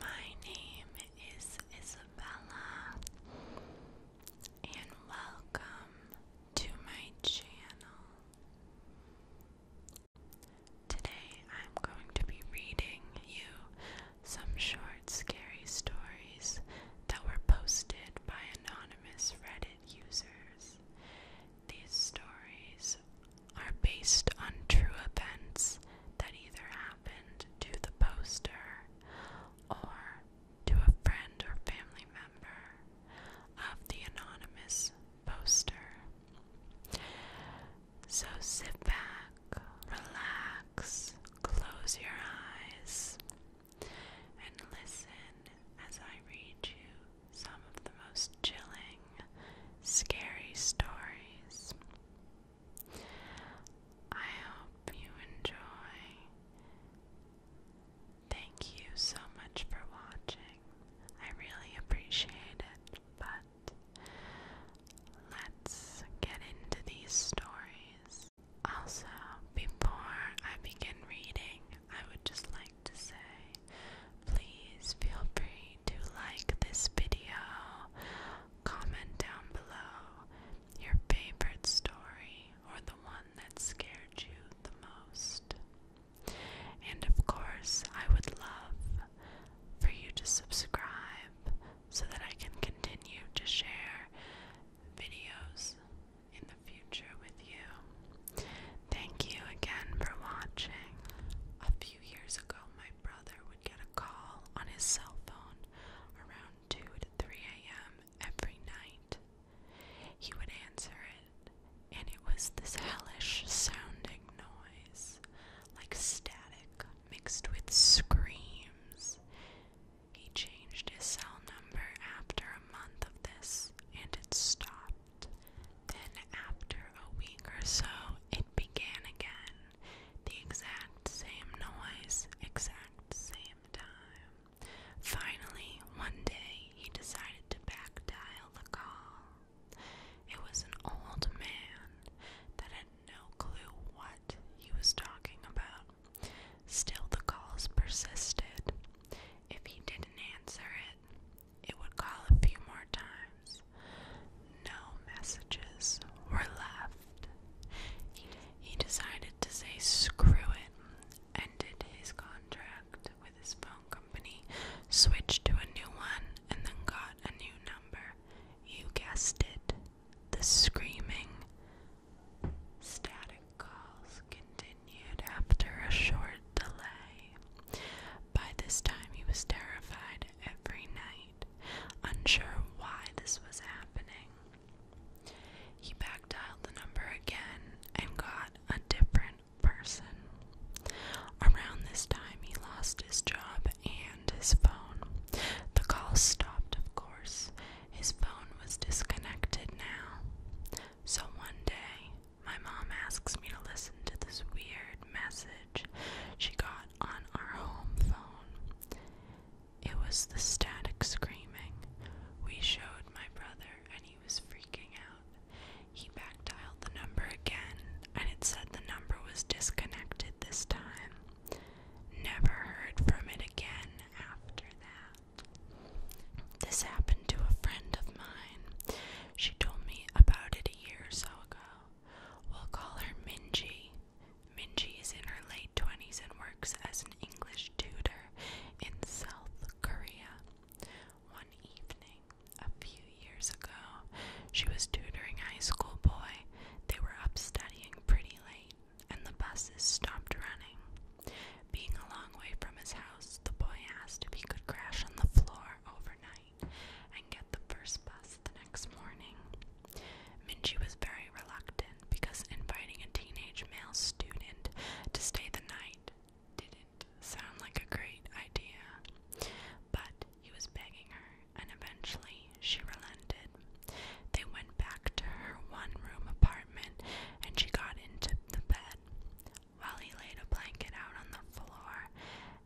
My name is Isabella, and welcome to my channel. Today I'm going to be reading you some short, scary stories that were posted by anonymous Reddit users. These stories are based on true events that either happened to the poster or to a friend or family member of the anonymous poster. So sit back, relax, close your eyes, and listen as I read you some of the most chilling, scary stories I hope you enjoy. Thank you so much for watching. I really appreciate it, but let's get into these stories. Also, before I begin reading, I would just like to say Please feel free to like this video, comment down below your favorite story or the one that scared you the most. And of course, I would love for you to subscribe so that I can continue to share videos in the future with you. Thank you again for watching few years ago, my brother would get a call on his cell phone around 2 to 3 a.m. every night. He would answer it, and it was this hellish sounding noise, like static mixed with screams. He changed his cell number after a month of this, and it stopped. Then, after a week or so, it began again. The exact same noise, exact same time. Finally, one day, he decided to back dial the call. It was an old man that had no clue what he was talking about. Still, the calls persisted. If he didn't answer it, it would call a few more times. No messages were left. He, decided to say screw it, ended his contract with his phone company, switched to a new one, and then got a new number. You guessed it. The screaming static calls continued after a short delay. By this time, he was terrified every night, unsure why this was happening. He back dialed the number again and got a different person. Around this time, he lost his job and his phone. The call stopped, of course. His phone was disconnected now. So one day, my mom asks me to listen to this weird message she got on our home phone. It was the static screaming. We showed my brother and he was freaking out. He back dialed the number again and it said the number was disconnected this time. Never heard from it again after that. This happened to a friend of mine. She told me about it a year or so ago. We'll call her Minji. Minji is in her late 20s and works as an English tutor in South Korea. One evening, a few years ago, she was tutoring a high school boy. They were up studying pretty late, and the buses stopped running. Being a long way from his house, the boy asked if he could crash on the floor overnight and get the first bus the next morning. Minji was very reluctant because inviting a teenage male student to stay the night didn't sound like a great idea. But he was begging her, and eventually she relented. They went back to her one room apartment and she got into the bed. While he laid a blanket out on the floor,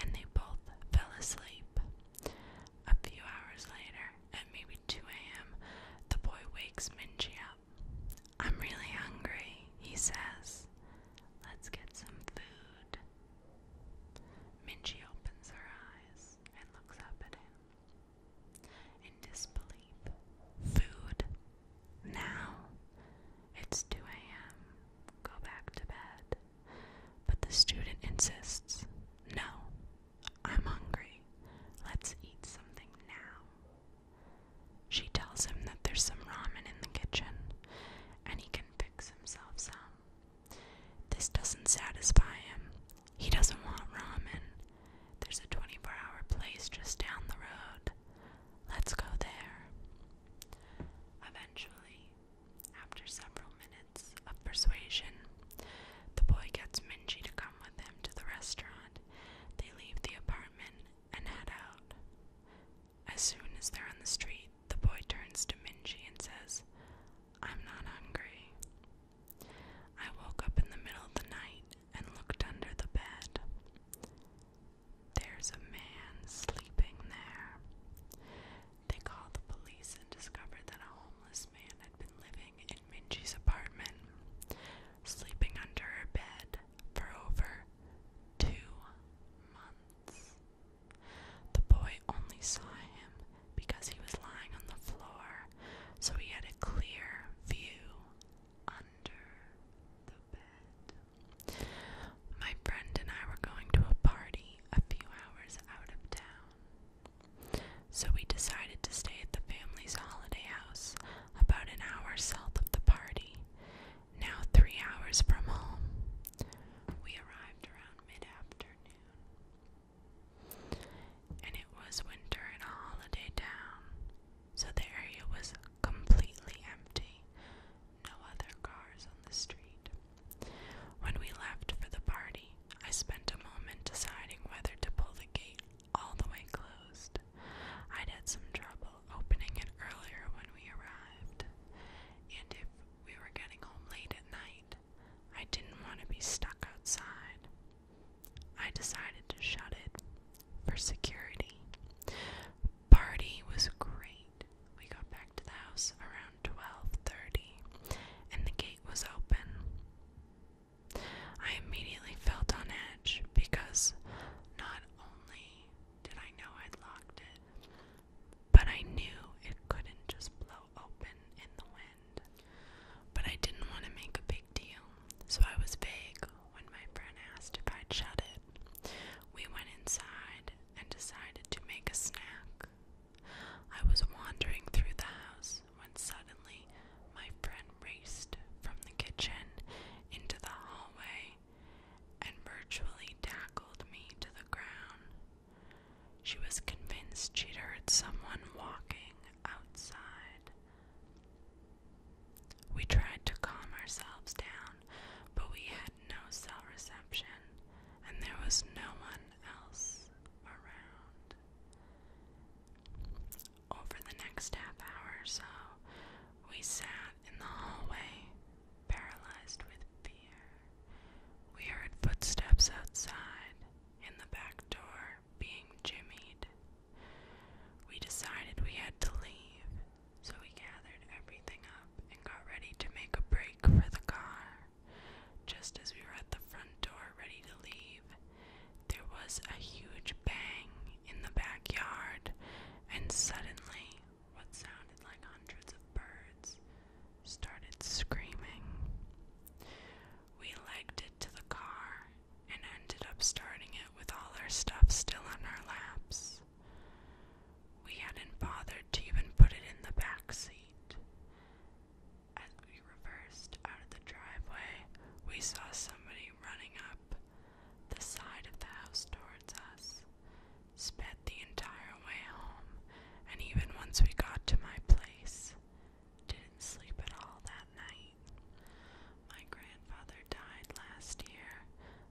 and they both fell asleep. A few hours later, at maybe 2 a.m., the boy wakes Minji up. I'm really hungry, he says. Let's get some food. Minji opens her eyes and looks up at him. In disbelief. Food? Now? It's 2 a.m. Go back to bed. But the student insists, No, I'm hungry. Let's eat something now. She tells him that there's some ramen in the kitchen, and he can fix himself some. This doesn't satisfy him. He doesn't want ramen. There's a 24 hour place just down the road. Let's go there. Eventually, after several minutes of persuasion, the boy gets Minji to come with him to the restaurant. They leave the apartment and head out. As soon as they're on the street, the boy turns to Minji and says, I'm not hungry. I woke up in the middle of the night and looked under the bed. There's a man sleeping there. They called the police and discovered that a homeless man had been living in Minji's apartment, sleeping under her bed for over two months. The boy only saw him because he was lying on the floor, so he had a clear view under the bed. My friend and I were going to a party a few hours out of town, so we decided to stay at the family's holiday house about an hour south of the party, now three hours from home. We arrived around mid afternoon, and it was winter in a holiday town, so the area was completely empty no other cars on the street. When we left for the party, I spent a moment deciding whether to pull the gate all the way closed. I'd had some trouble opening it earlier when we arrived, and if we were getting home late at night, I didn't want to be stuck outside. I decided to shut it for security. Party was great. We got back to the house around 12:30 and the gate was open. I immediately felt on edge because not only did I know I'd locked it, but I knew it couldn't just blow open in the wind. But I didn't want to make a big deal, so I was vague when my friend asked if I'd shut it. We went inside and decided to make a snack. I was wandering through the house when suddenly my friend raced from the kitchen into the hallway and virtually tackled me to the ground. She was convinced she'd heard someone walking outside. We tried to calm ourselves down but we had no cell reception, and there was no one else around. Over the next half hour or so, we sat in the hallway, paralyzed with fear. We heard footsteps outside, in the back door, being jimmied. We decided we had to leave, so we gathered everything up and got ready to make a break for the car. Just as we were at the front door ready to leave, there was a huge bang in the backyard, and suddenly, what sounded like hundreds of birds started screaming. We legged it to the car and ended up starting it with all our stuff still on our laps. We hadn't bothered to even put it in the back seat. As we reversed out of the driveway, we saw somebody running up the side of the house towards us, sped the entire way home, and even once we got to my place, didn't sleep at all that night. My grandfather died last year,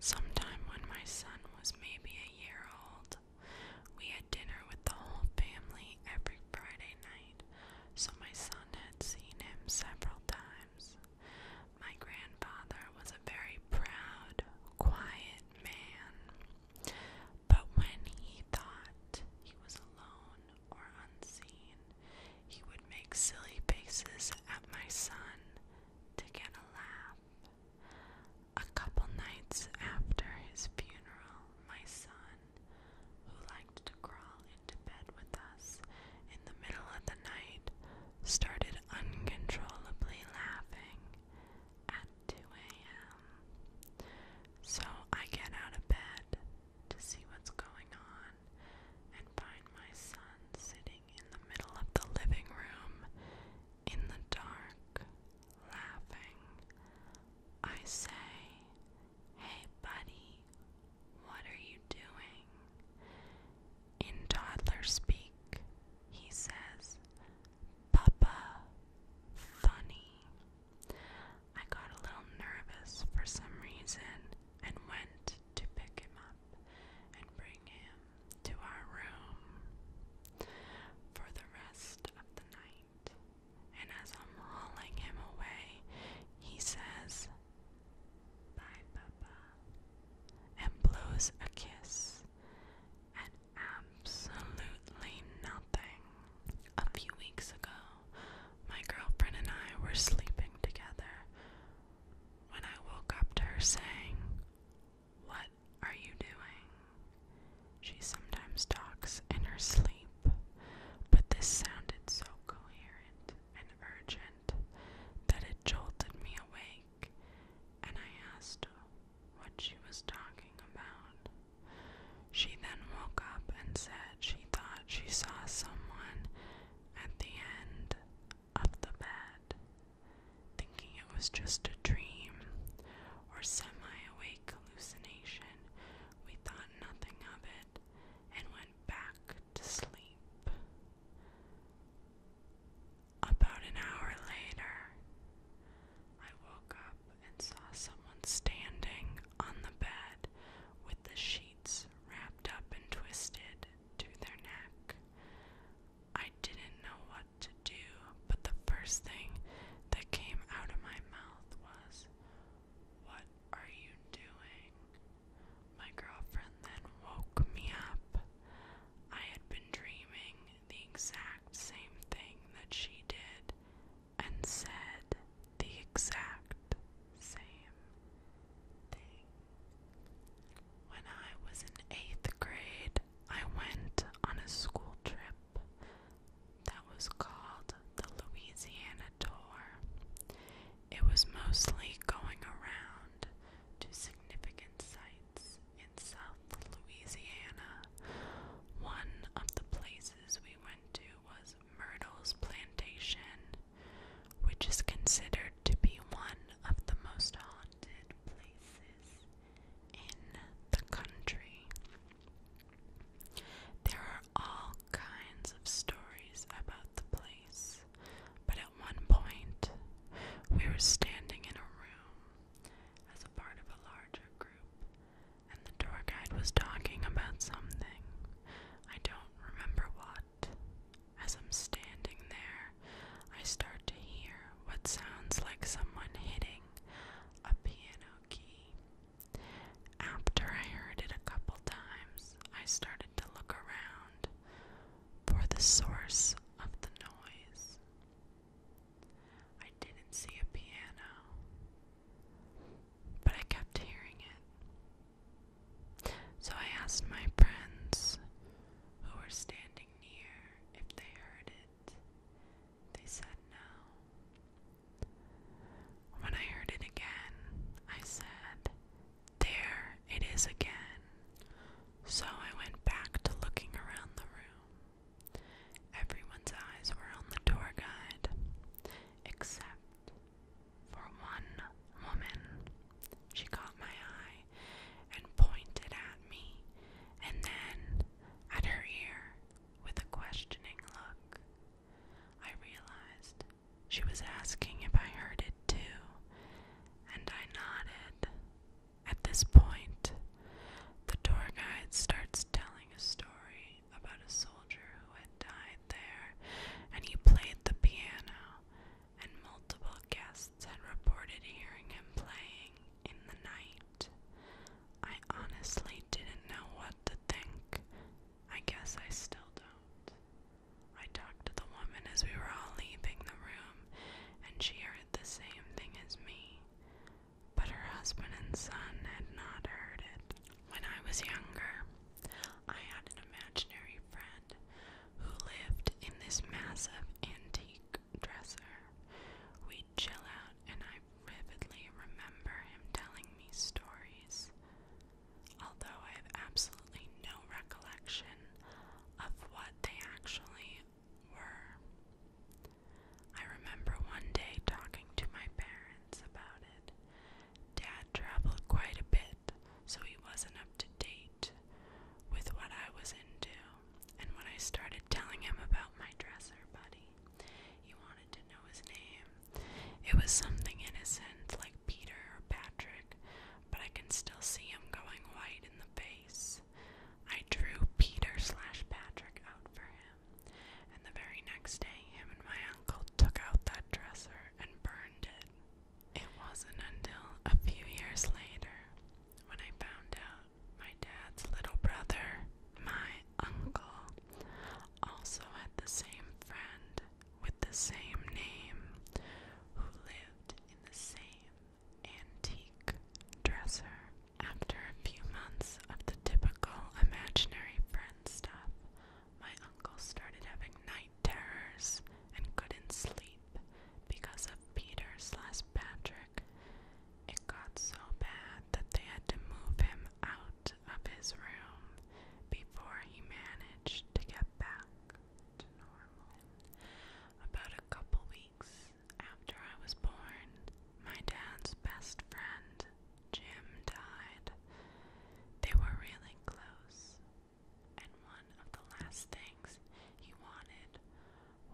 sometime when my son was maybe a year old. We had dinner with the whole family every Friday night, so my son had seen him several times. My grandfather was a very proud, quiet man, but when he thought he was alone or unseen, he would make silly faces at my son to get a laugh. A couple nights after his funeral, my son, who liked to crawl into bed with us in the middle of the night, started uncontrollably laughing at 2 a.m. So I get out of bed to see what's going on and find my son sitting in the middle of the living room in the dark, laughing. I say, Hey, buddy, what are you doing? In toddler speak, he says, Papa, funny. I got a little nervous for some reason and went to pick him up and bring him to our room for the rest of the night. And as I'm hauling him away, he says, Bye, Papa, and blows a kiss And absolutely nothing. A few weeks ago, my girlfriend and I were sleeping together when I woke up to her saying, What are you doing? She sometimes talks in her sleep, but this sounded so coherent and urgent that it jolted me awake, and I asked her what she was talking about. She then woke up and said she thought she saw someone at the end up the bed, thinking it was just a dream or semi awake hallucination. We thought nothing of it and went back to sleep. About an hour later, I woke up and saw someone standing on the bed with the sheets wrapped up and twisted to their neck. I didn't know what to do, but the first thing that came out of my mouth was, What are you doing? My girlfriend then woke me up. I had been dreaming the exact same thing that she did and said the exact same thing. When I was in eighth grade, I went on a school trip that was called the Louisiana Tour. It was mostly going around to significant sites in South Louisiana. One of the places we went to was Myrtle's Plantation which is considered to be one of the most haunted places in the country. There are all kinds of stories about the place, but at one point, we were standing in a room as a part of a larger group, and the tour guide was talking about something. I don't remember what, as I'm standing there, I start to hear what sounds like someone hitting a piano key. After I heard it a couple times, I started to look around for the source of the noise. I didn't see a piano, but I kept hearing it. So I asked my friends who were standing near if they heard it. They said no. When I heard it again, I said, There it is again. So I went back to looking around the room. Everyone's eyes were on the tour guide, except for one woman, she caught my eye and pointed at me, and then at her ear with a questioning look. I realized she was asking if I heard it too, and I nodded. At this point, the tour guide starts telling a story about a soldier and died there, and he played the piano, and multiple guests had reported hearing him playing in the night. I honestly didn't know what to think. I guess I still don't. I talked to the woman as we were all leaving the room, and she heard the same thing as me. But her husband and son had not heard it. When I was younger, I had an imaginary friend who lived in this massive antique dresser. We'd chill out, and I vividly remember him telling me stories. Although I have absolutely no recollection of what they actually were. I remember one day talking to my parents about it. Dad traveled quite a bit so he wasn't up to date with what I was into. And when I started telling him about my dresser buddy, he wanted to know his name. It was something innocent, like Peter or Patrick, but I can still see him going white in the face. I drew Peter slash Patrick out for him, and the very next day, him and my uncle took out that dresser and burned it wasn't until a few years later when I found out my dad's little brother, my uncle, also had the same friend with the same name who lived in the same antique dresser. After a few months of the typical imaginary friend stuff, my uncle started having night terrors and couldn't sleep because of Peter slash Patrick. It got so bad that they had to move him out of his room before he managed to get back to normal. About a couple weeks after I was born, my dad's best friend Jim died. They were really close, and one of the last things he wanted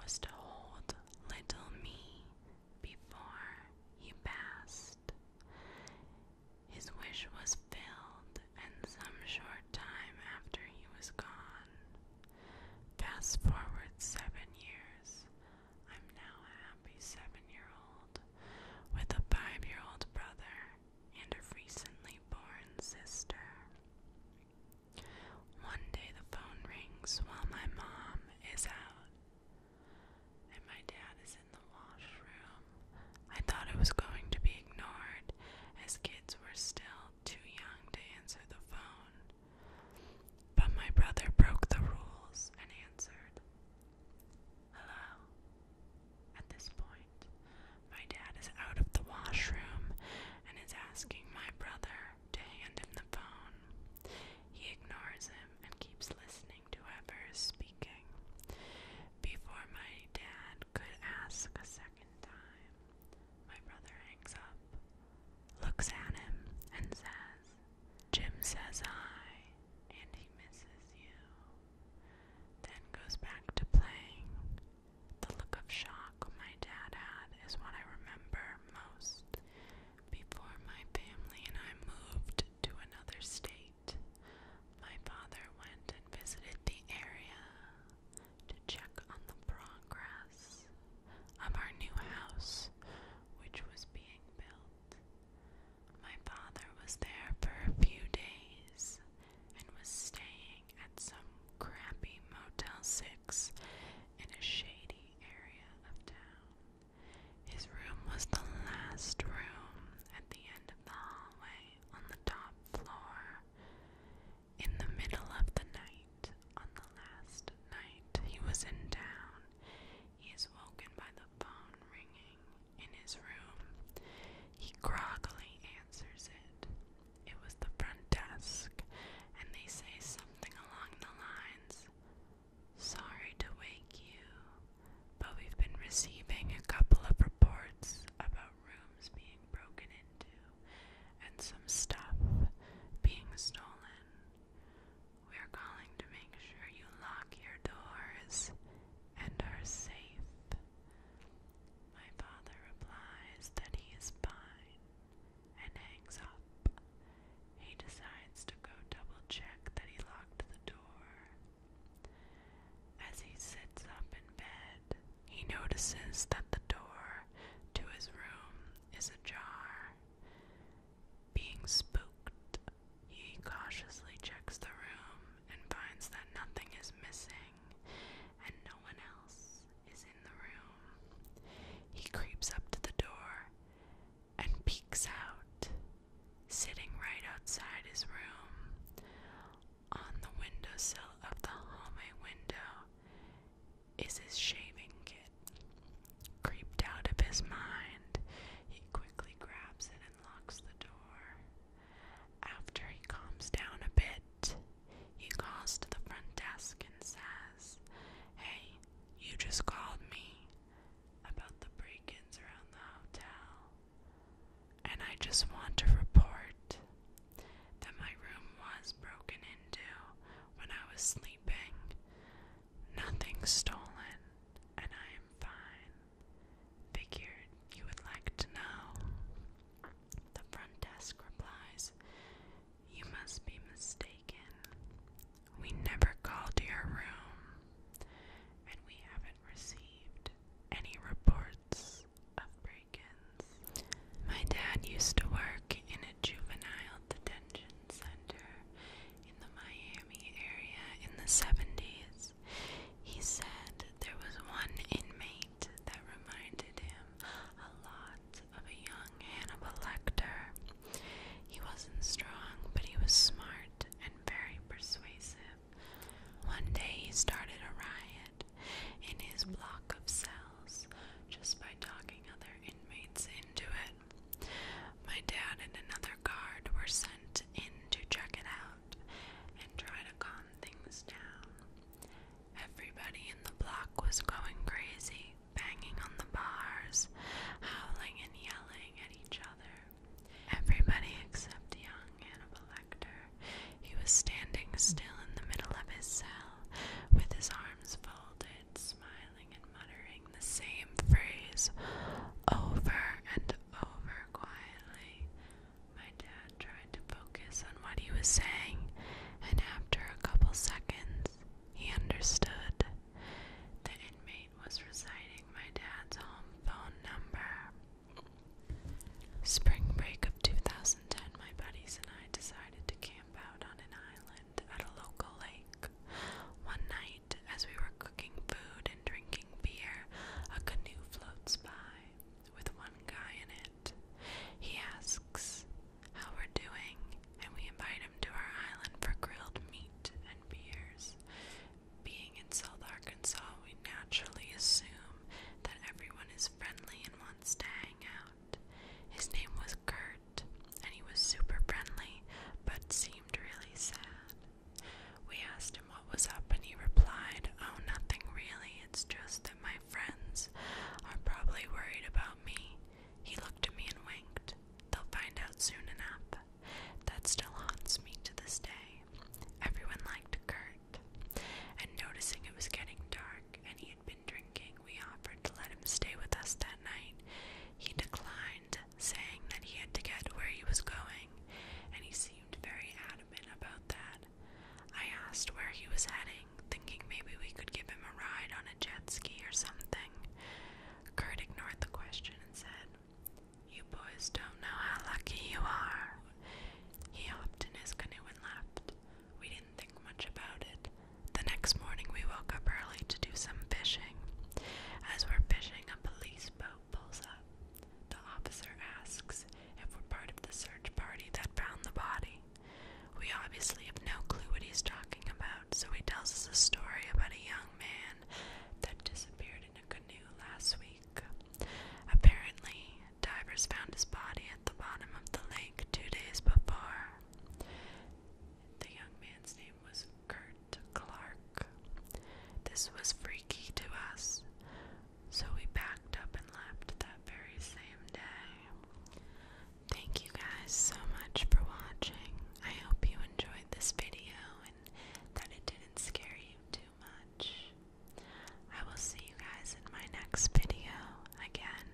was to hold little me before he passed. His wish was filled, and some short time after he was gone. Fast forward seven years. I'm now a happy seven year old with a five year old brother and a recently born sister. One day the phone rings while my mom is out and my dad is in the washroom. I thought it was going to be ignored as kids were still too young to answer the phone. But my brother broke the rules and answered. Hello? At this point, my dad is out of the washroom and is asking my brother to hand him the phone. He ignores him and keeps listening to whoever is speaking. Before my dad could ask a second time, my brother hangs up, looks at him, and says, Jim says hi, and he misses you then goes back to playing. The look of shock my dad had is what I remember most before my family and I moved to another state. My father went and visited the area to check on the progress of our new house, which was being built. My father was there for a few days and was staying at some crappy Motel 6 in a shady area of town. His room was the last room at the end of the hallway on the top floor. In the middle of the night, on the last night he was in town, he was woken by the phone ringing in his room. He groggily answers it. It was the front desk, and they say something along the lines Sorry to wake you, but we've been receiving a couple of reports about rooms being broken into and some stuff being stolen. We're calling to make sure you lock your doors and are safe. My father replies that he is fine and hangs up. He decides to go double check that he locked the door. As he sits up in bed, he notices that the door to his room is ajar. Being spooked, he cautiously checks the room and finds that nothing is missing and no one else is in the room. He creeps up to the door and peeks out, sitting right outside his room. On the windowsill of the hallway window is his shaving kit. Creeped out of his mind, he quickly grabs it and locks the door. After he calms down a bit, he goes to the front desk and says, Hey, you just called me about the break ins around the hotel, and I just want to report that my room was broken into when I was sleeping. Nothing stolen, and I am fine. Figured you would like to know. The front desk replies, You must be mistaken. We never called to your room, and we haven't received any reports of break ins. My dad used to work in a juvenile detention center in the Miami area in the 70s. He said there was one inmate that reminded him a lot of a young Hannibal Lecter. He wasn't strong, but he was smart and very persuasive. One day he started a riot in his block of cells just by talking other inmates into it. My dad and another guard were sent in to check it out and try to calm things down. Everybody in the block was going crazy, banging on the bars, howling and yelling at each other. Everybody except young Hannibal Lecter. He was standing still in the middle of his cell, with his arms folded, smiling and muttering the same phrase over and over quietly. My dad tried to focus on what he was saying, and after a couple seconds, he understood. The inmate was reciting my dad's home phone number. Spring break of 2010, my buddies and I decided to camp out on an island at a local lake. One night, as we were cooking food and drinking beer, a canoe floats by with one guy in it. He asks how we're doing, and we invite him to our island for grilled meat and beers. Being in South Arkansas, we naturally assume that everyone is friendly and wants to hang out. His name was Kurt and he was super friendly, but seemed really sad. We asked him what was up, and he replied, Oh, nothing really, it's just that my friends are probably worried about me. He looked at me and winked. They'll find out soon enough. That still haunts me to this day. Everyone liked Kurt, and noticing it was getting dark and he had been drinking, we offered to let him stay with us that night. He declined, saying that he had to get where he was going, and he seemed very adamant about that. I asked where he was heading, thinking maybe we could give him a ride on a jet ski or something. Kurt ignored the question and said, You boys don't know how lucky you are. He hopped in his canoe and left. We didn't think much about it. The next morning, we woke up early to do some fishing. As we're fishing, a police boat pulls up. The officer asks if we're part of the search party that found the body. We obviously have no clue what he's talking about, so he tells us a story about a young man that disappeared in a canoe last week. Apparently, divers found his body at the bottom of the lake two days before. The young man's name was Kurt to Clark. This was freaky to us, so we packed up and left that very same day. Thank you guys so much for watching. I hope you enjoyed this video and that it didn't scare you too much. I will see you guys in my next video. Again,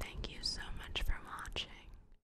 thank you so much for watching.